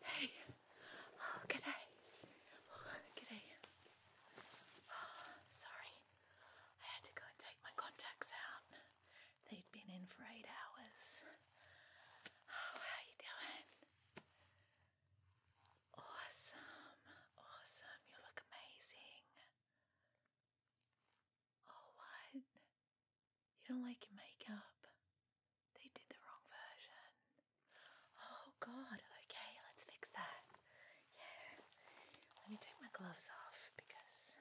Hey, oh, g'day. Oh, g'day. sorry, I had to go and take my contacts out. They'd been in for eight hours. how you doing? Awesome, awesome. You look amazing. Oh, what? You don't like your makeup? They did the wrong version. Oh, God. Okay, let's fix that. Yeah. Let me take my gloves off because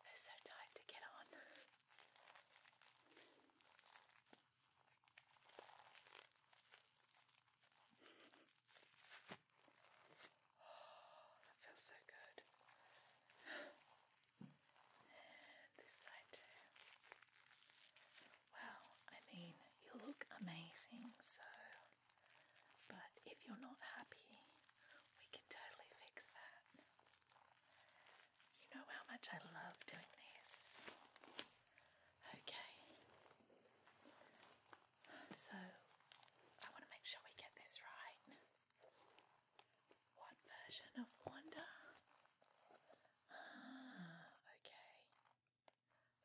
they're so tight to get on that feels so good. this side Well, I mean, you look amazing, so. But if you're not happy, we can totally fix that. You know how much I love doing this. Okay. So I want to make sure we get this right. What version of Wanda? Ah, okay.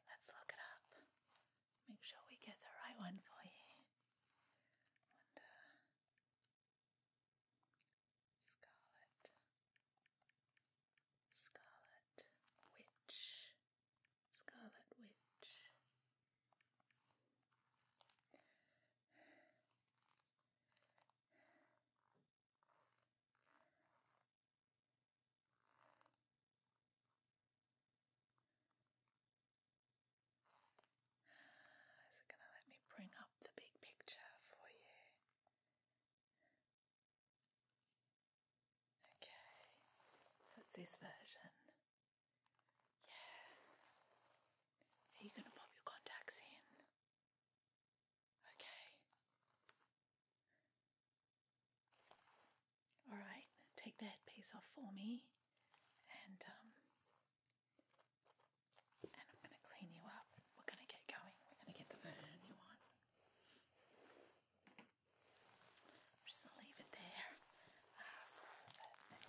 Let's look it up. Make sure we get the right one for you. Scarlet. Scarlet Witch. Scarlet Witch. Is it going to let me bring up the big picture for you? Okay, so it's this version. Yeah. Are you going to pop your contacts in? Okay. Alright, take the headpiece off for me and um and I'm gonna clean you up. We're gonna get going. We're gonna get the version you want just leave it there ah, Let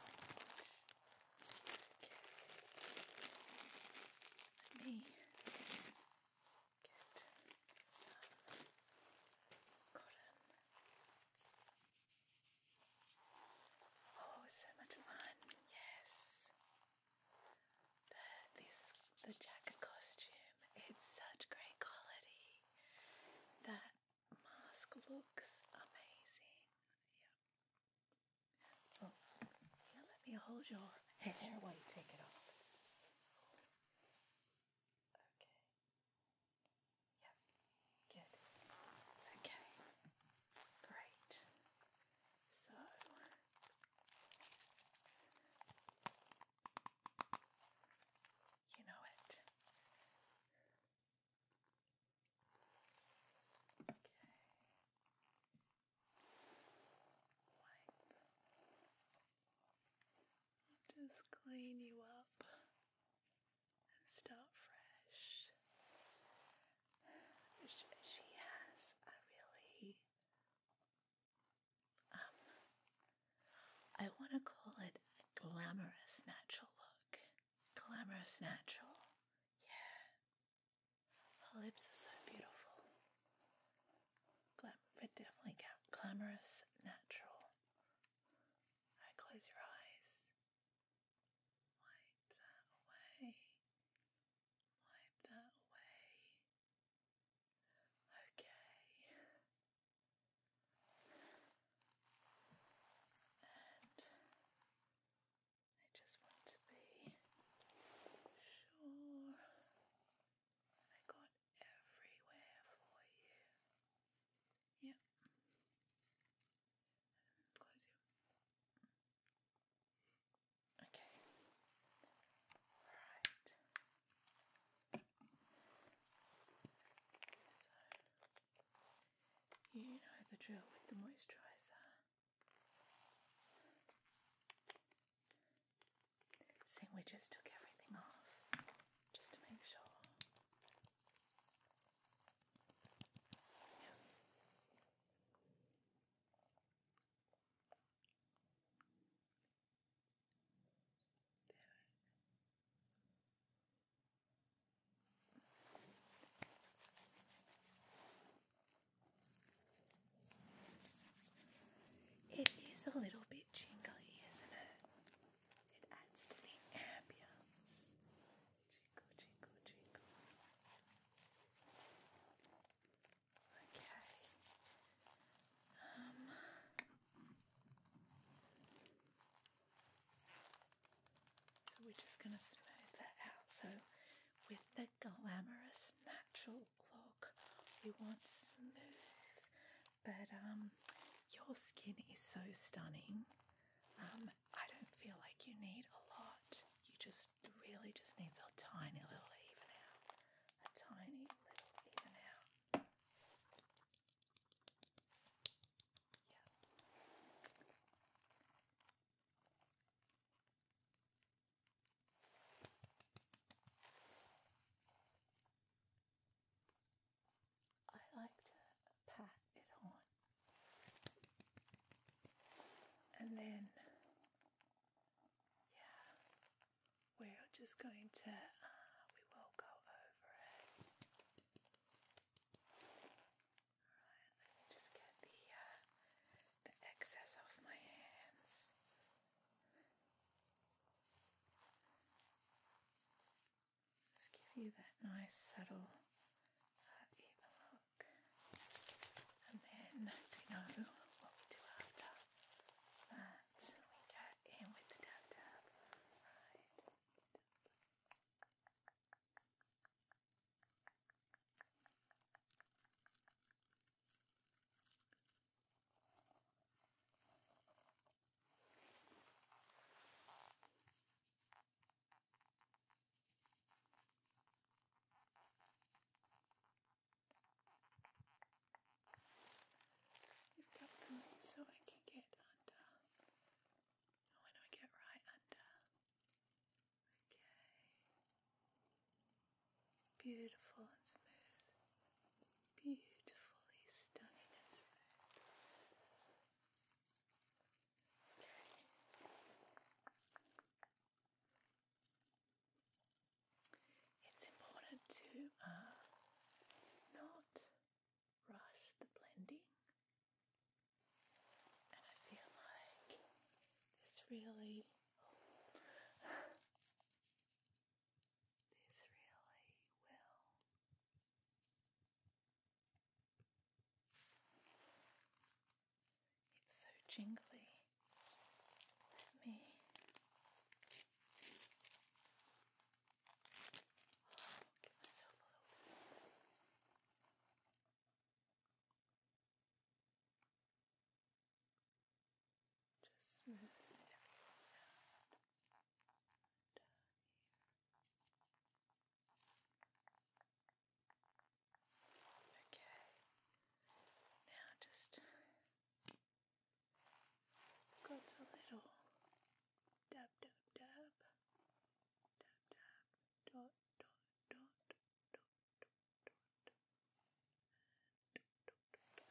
me get some Oh, so much fun! Yes, the, this the jacket costume. It's such great quality. That mask looks amazing. Yeah. Oh, yeah, let me hold your hair while you take it off. Okay. Yep. Good. okay. Great. So you know it. Okay. just clean you up and start fresh. She has a really um, I want to call it glamorous natural look. Glamorous natural. Yeah. Her lips are so beautiful. Glam definitely got glamorous natural. close your eyes. Wipe that away. Wipe that away. Okay. And I just want to be sure I got everywhere for you. Yep. Okay. Right you know the drill with the moisturiser. Seeing we just took everything off just to make sure. It is a little bit jingly, isn't it? It adds to the ambience. Jingle, jingle, jingle. Okay. Um, so we're just going to smooth that out. So with the glamorous natural look, we want smooth, but um, your skin is so stunning. Um, I don't feel like you need a lot. You just really just needs a tiny little even out, a tiny little even out. Yeah. I like to pat it on and then, yeah, we're just going to, uh, we will go over it. Alright, just get the, uh, the excess off my hands. Just give you that nice subtle uh, even look. And then you know what we do after that that we get in with the tap tap. Right lift up for me so I can get under. Oh, I get right under. Okay. Beautiful and smooth. Beautifully stunning It's important to uh, know rush the blending. And I feel like this really, this really will it's so jingly. Let me I'll give myself a little bit of space. Just smooth everything out down here. Okay. Now just got a little dab dab dab dab dab dot dot dot dot dot dot dot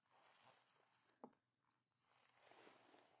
and dot dot dot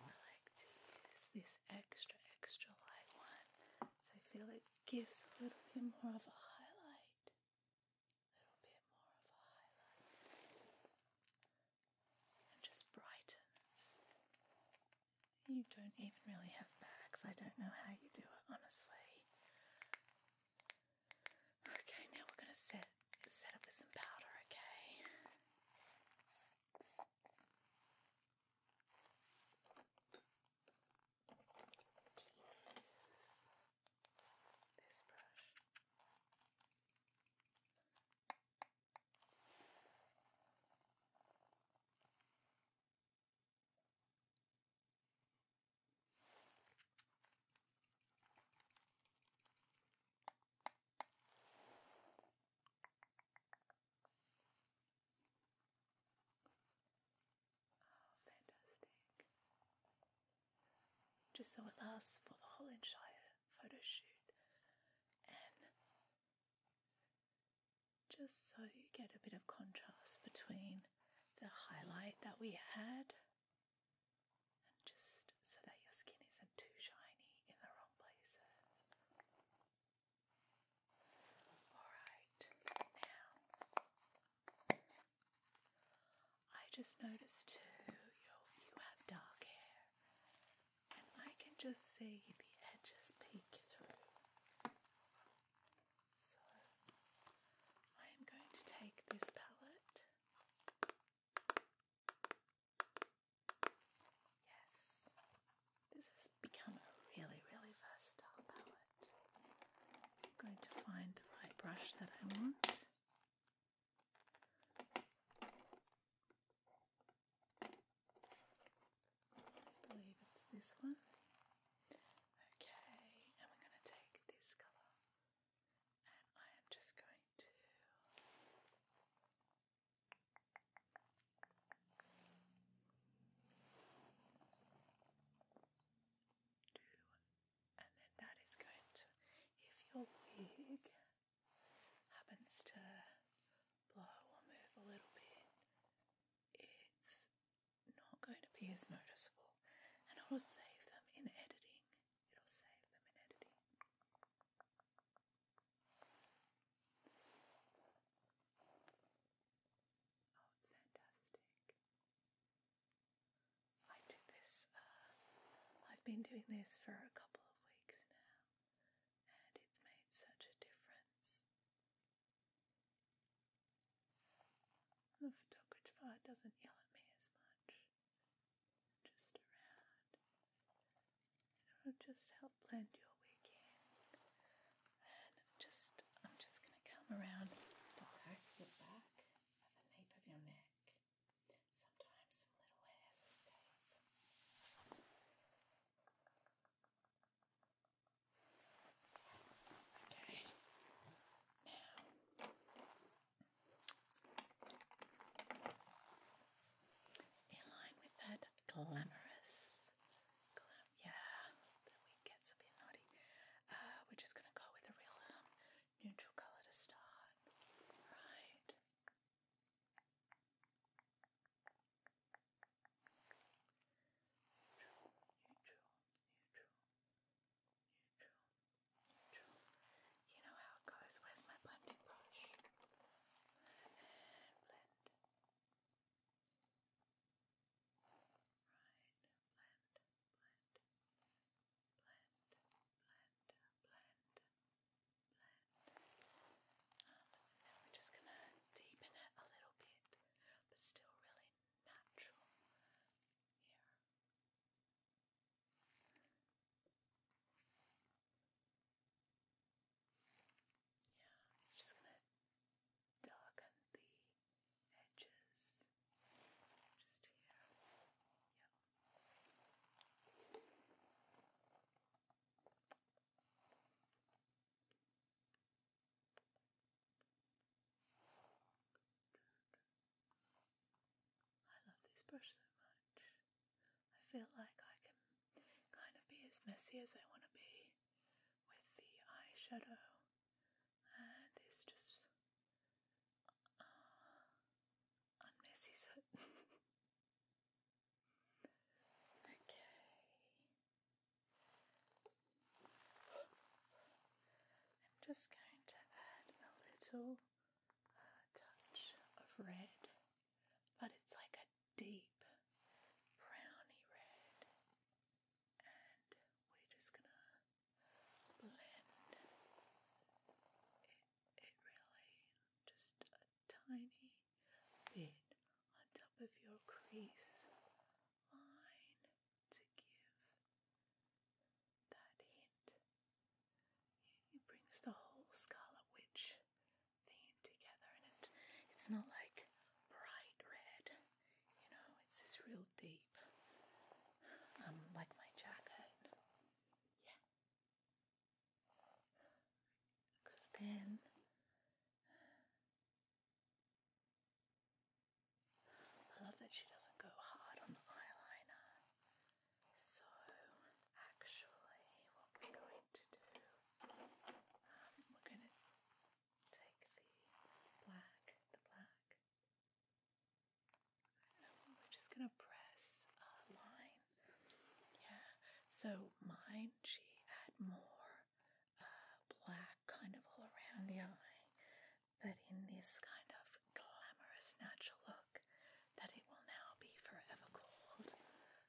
I like to use this extra, extra light one. So I feel it gives a little bit more of a highlight. A little bit more of a highlight. And just brightens. You don't even really have bags. I don't know how you do it, honestly. Okay, now we're going to set set up with some powder, okay? Jeez. This brush. Oh, fantastic. Just so it lasts for the whole entire photo shoot and just so you get a bit of contrast between the highlight that we had just so that your skin isn't too shiny in the wrong places. Alright, now I just noticed too you have dark hair and I can just see the edges peek through. So I am going to take this palette Yes, this has become a really, really versatile palette. I'm going to find the right brush that I want. I believe it's this one. Okay, and we're going to take this colour and I am just going to do and then that is going if your wig happens to blow or move a little bit, it's not going to be as noticeable, and it will save them in editing. It'll save them in editing. Oh, it's fantastic. I did this, uh, I've been doing this for a couple of weeks now, and it's made such a difference. The photographer doesn't yell at me as much just around. And it just help blend your wig And just, I'm just going to come around okay. your back at the nape of your neck. Sometimes some little hairs escape. Yes, okay. Now, in line with that glamorous Yeah, we get something naughty. Uh, we're just gonna go with a real um, neutral color to start, right? Neutral, neutral, neutral, neutral, neutral. You know how it goes. Where's my blending brush? and blend. blend, blend, blend, blend, blend, blend. and we're just gonna deepen it a little bit, but still really natural here. Yeah, it's just going to darken the edges just here. I love this brush so much. I feel like I can kind of be as messy as I want to be with the eyeshadow, and it's just uh, unmessy. okay, I'm just going to add a little uh, touch of red, but it's like a deep browny red, and we're just gonna blend it, it really just a tiny bit on top of your crease line to give that hint. It brings the whole scarlet witch theme together, and it's not like bright red, you know, it's this real deep, um, like my jacket. Yeah. Because then. I love that she doesn't go hard on the eyeliner. So, actually, what we're going to do we're going to take the black, the black. we're just going to press a line. Yeah. So mine, she had more uh, black kind of all around the eye, but in this kind of glamorous natural look, that it will now be forever cold.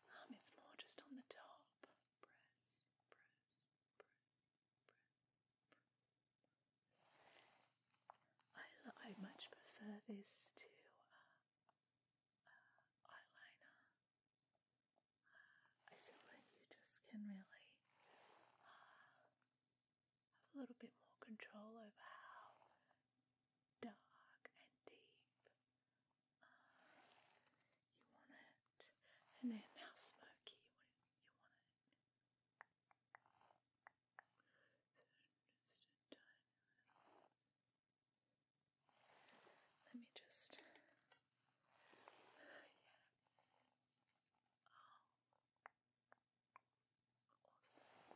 Um, it's more just on the top. I, I much prefer this to uh, uh, eyeliner. Uh, I feel like you just can really have a little bit more control over how dark and deep you want it, and then how smoky you want it. You want it. So just a tiny little. Let me just. Uh, yeah. Oh. Awesome. Yep.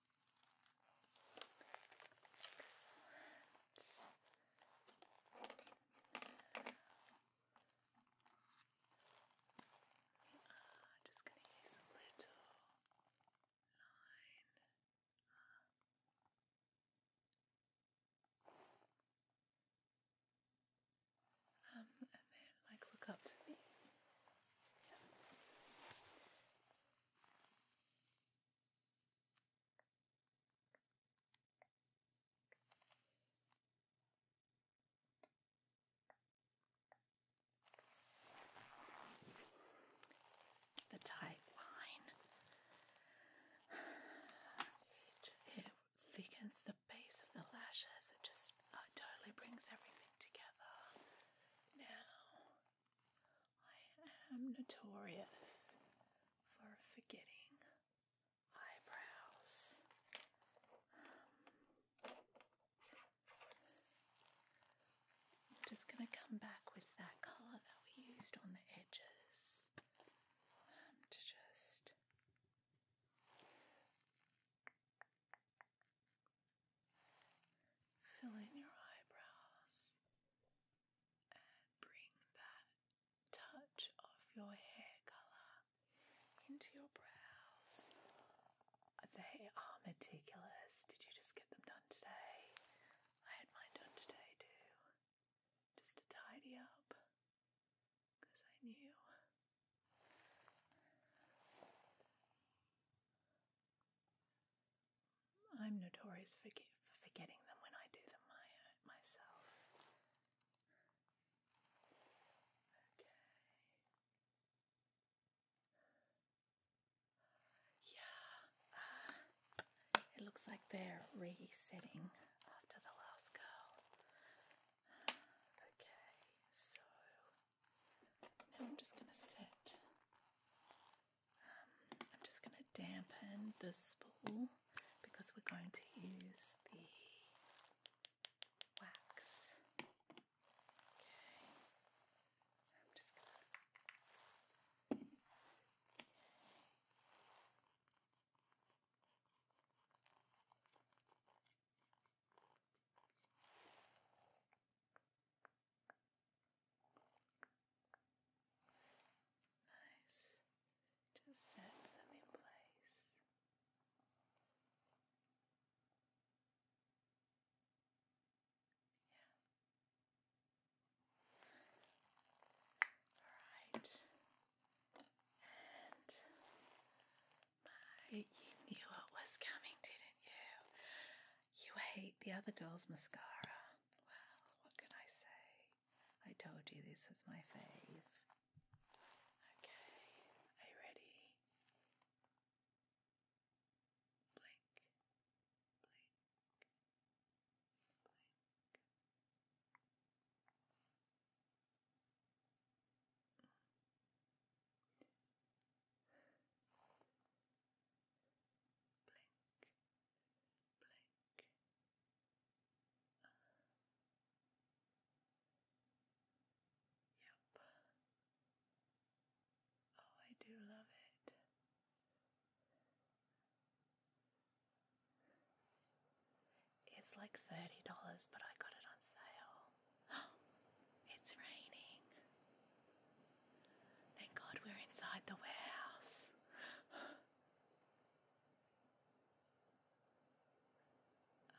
Excellent. We are just going to use a little line. um, and then, like, look up for me. The tight line it thickens the base of the lashes. It just uh, totally brings everything together. Now I am notorious for forgetting eyebrows. I'm just going to come back with that colour that we used on the edges um, to just Fill in your eyebrows and bring that touch of your hair color into your brows. They are ah, meticulous. Did you just get them done today? I had mine done today too. Just to tidy up because I knew. I'm notorious for, forgetting them when I do them uh, myself. Okay. Yeah, uh, it looks like they're resetting after the last girl. Okay, so now I'm just going to set I'm just going to dampen the spool because we're going to use the wax. Okay. Nice. Just sets them in place. Yeah. Alright. And my you knew what was coming, didn't you? You hate the other girl's mascara. Well, what can I say? I told you this was my fave. Okay, are you ready? Blink, blink, blink blink, blink. yep. Oh, I do love it. It's like $30, but I got it on sale. it's raining. Thank God we're inside the warehouse. Now,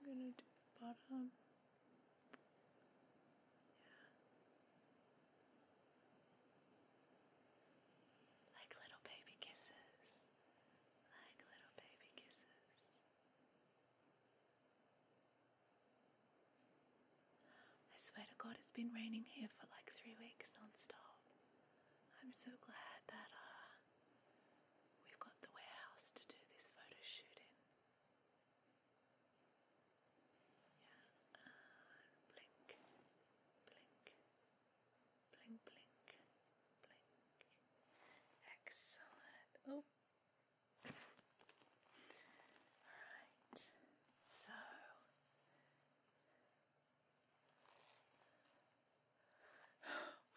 I'm gonna do the bottom. Like little baby kisses. Like little baby kisses. I swear to God, it's been raining here for like three weeks non-stop. I'm so glad that uh, we've got the warehouse to do this photo shoot in. Yeah, blink, blink, blink, blink, blink. Excellent. Oh. Alright, so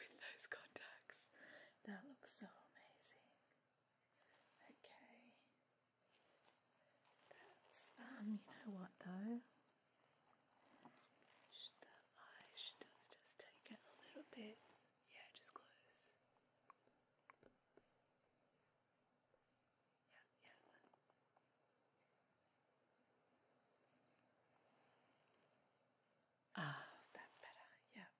with those contacts, that looks so amazing. Okay. That's um you know what though? Just the eye just, just take it a little bit. Yeah, just close. Yeah, yeah. Ah, that's better. Yeah.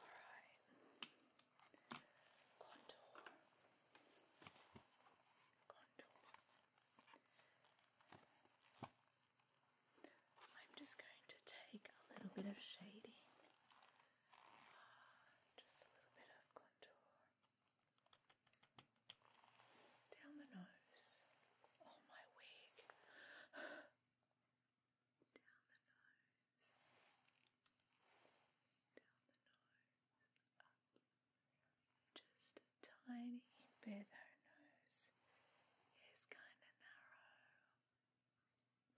Alright. Contour. Contour. I'm just going to take a little bit of shading. Ah, just a little bit of contour. Down the nose. Oh, my wig. Down the nose down the just a tiny bit. Her nose is kind of narrow,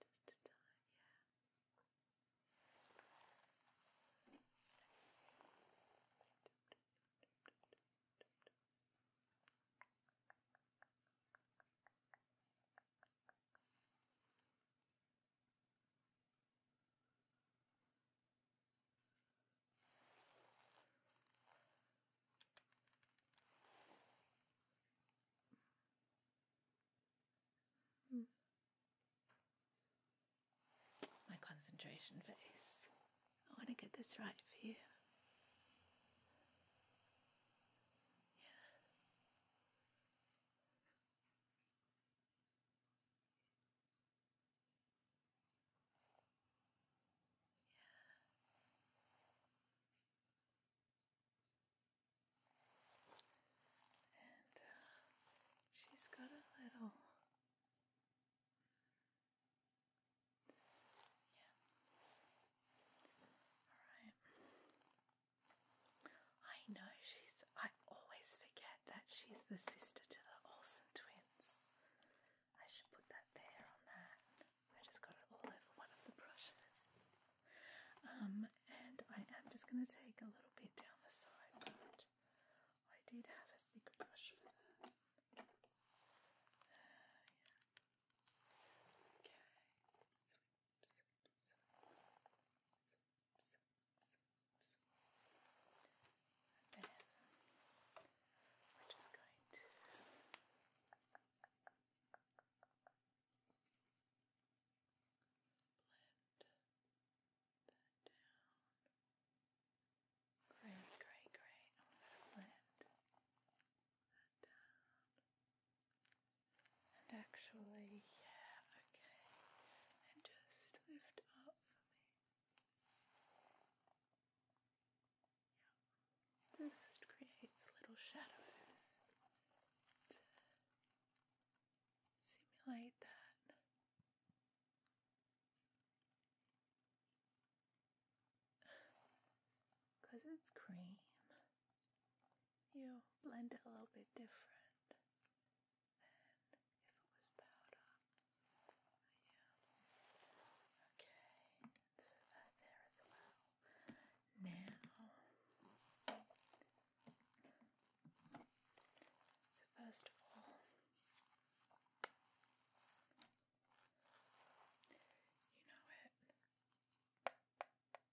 just a tiny, Hmm. My concentration face. I want to get this right for you. Yeah. And uh, she's got a little. Yeah. All right. I know she's. I always forget that she's the sister to the awesome twins. I should put that there on that. I just got it all over one of the brushes. Um, and I am just going to take a little bit down the side, but I did have a thick brush for that. Uh, okay, and then we just going to blend that down. Great, great, great. I'm going to blend and actually, yeah, okay. And just lift up Just creates little shadows simulate that. it's cream, you blend it a little bit different if it was powder. Yeah. Okay, that there as well. Now, so first of all, you know it.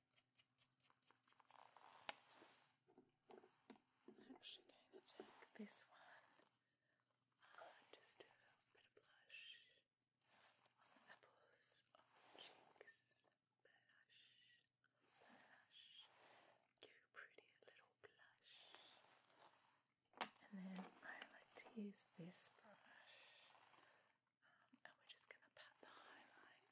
I'm actually going to take this one and uh, just do a blush on the apples, on cheeks. Blush, blush, you pretty little blush. And then I like to use this brush. Um, and we're just going to pat the highlight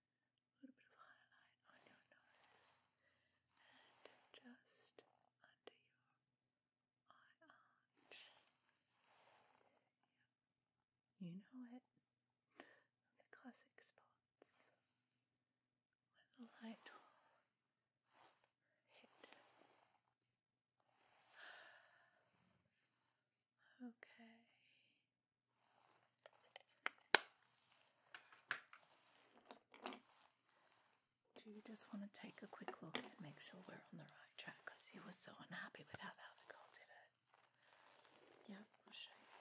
a little bit of highlight on your nose and just under your eye arch. Yeah. You know it. The classic spots where the light will hit. Okay. Do you just want to take a quick look and make sure we're on the right track? Because you were so unhappy with how the other girl did it. Yeah, I'll show you.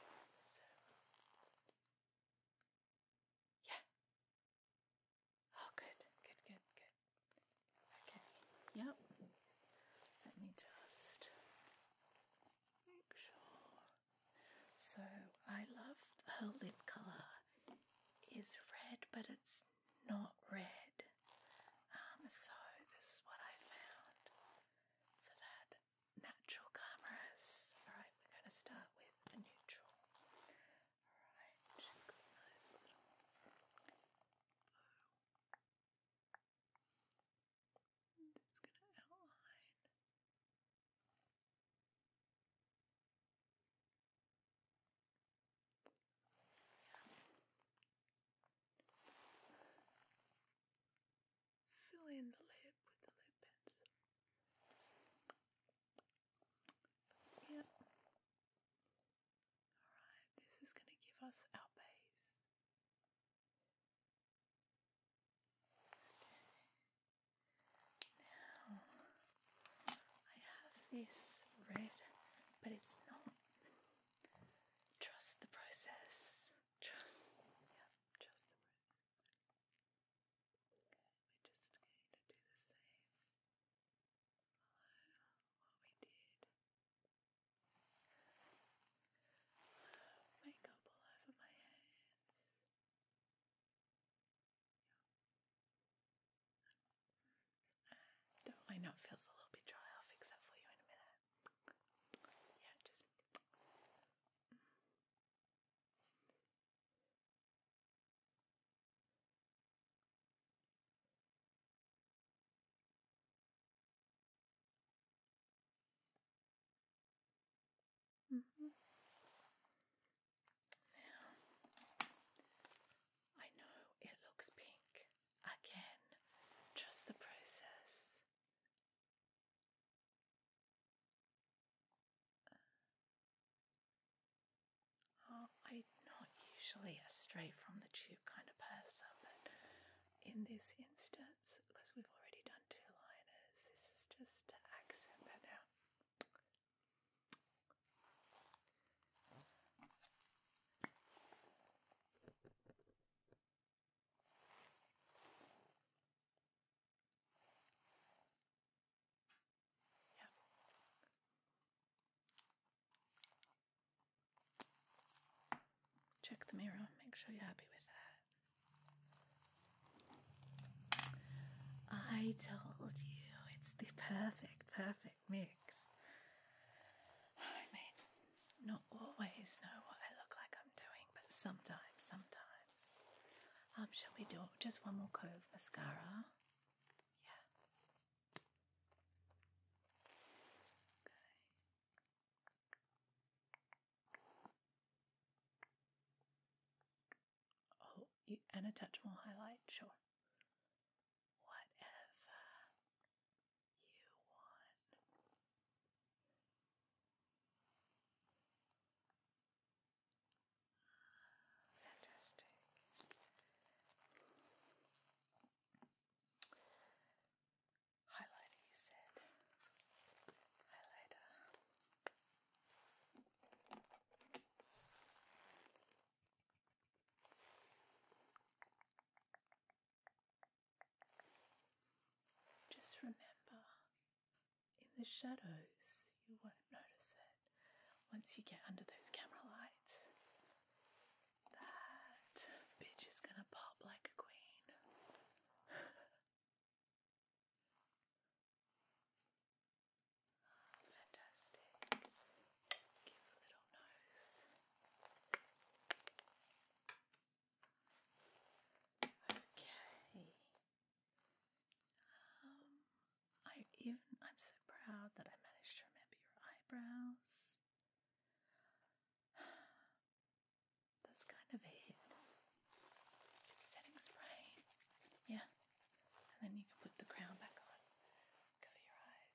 yeah. Oh, good, good, good, good. Okay. Yep. Let me just so I love her lip colour. Is red, but it's not red. Um, so this is what I found for that natural glamorous. Alright, we're going to start with a neutral. Alright, just got a nice little I'm just going to outline Fill in the lip with the lip pencil. yeah. Alright, this is going to give us our base. Now I have this red, but it's not. Trust the process. Trust, yeah, trust the process. Okay, we're just going to do the same. what we did makeup all over my hands. Yeah. Don't I know it feels a little bit dry, I'll fix that for you in a minute. Yeah, just Mm-hmm. I know it looks pink. Again, trust the process. Uh, I'm not usually a straight from the tube kind of person, but in this instance, that's because we've already done two liners. This is just to accent that out. Yep check the mirror, make sure you're happy with that. I told you it's the perfect, perfect mix. I mean, not always know what I look like I'm doing, but sometimes, sometimes. Um, shall we do just one more coat of mascara? Yeah. Okay. Oh, and a touch more highlight, sure. Whatever you want. Fantastic highlighter, you said. Highlighter. Just remember, in the shadows, you won't notice it once you get under those camera lights. That bitch is gonna pop like a queen. fantastic. Give a little nose. Okay. Um, I even I'm so proud that I managed to remember your eyebrows. That's kind of it. Setting spray. Yeah. And then you can put the crown back on. Cover your eyes.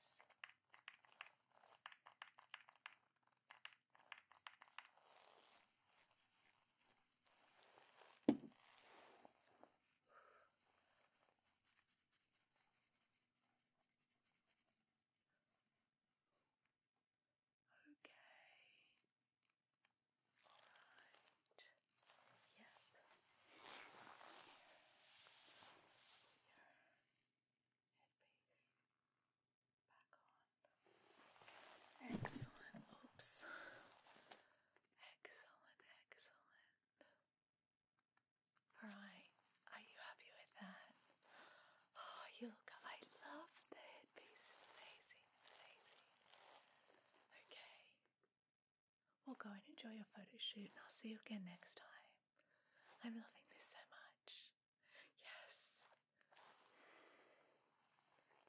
Okay. Alright. Yep. headpiece back on. Excellent. Oops. Excellent, excellent. Alright, are you happy with that? Oh, you look, I love the piece. It's amazing. It's amazing. Okay. Well, go and enjoy your photo shoot, and I'll see you again next time. I'm loving this so much. Yes.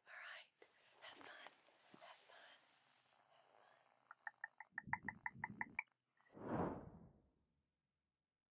All right. Have fun. Have fun. Have fun.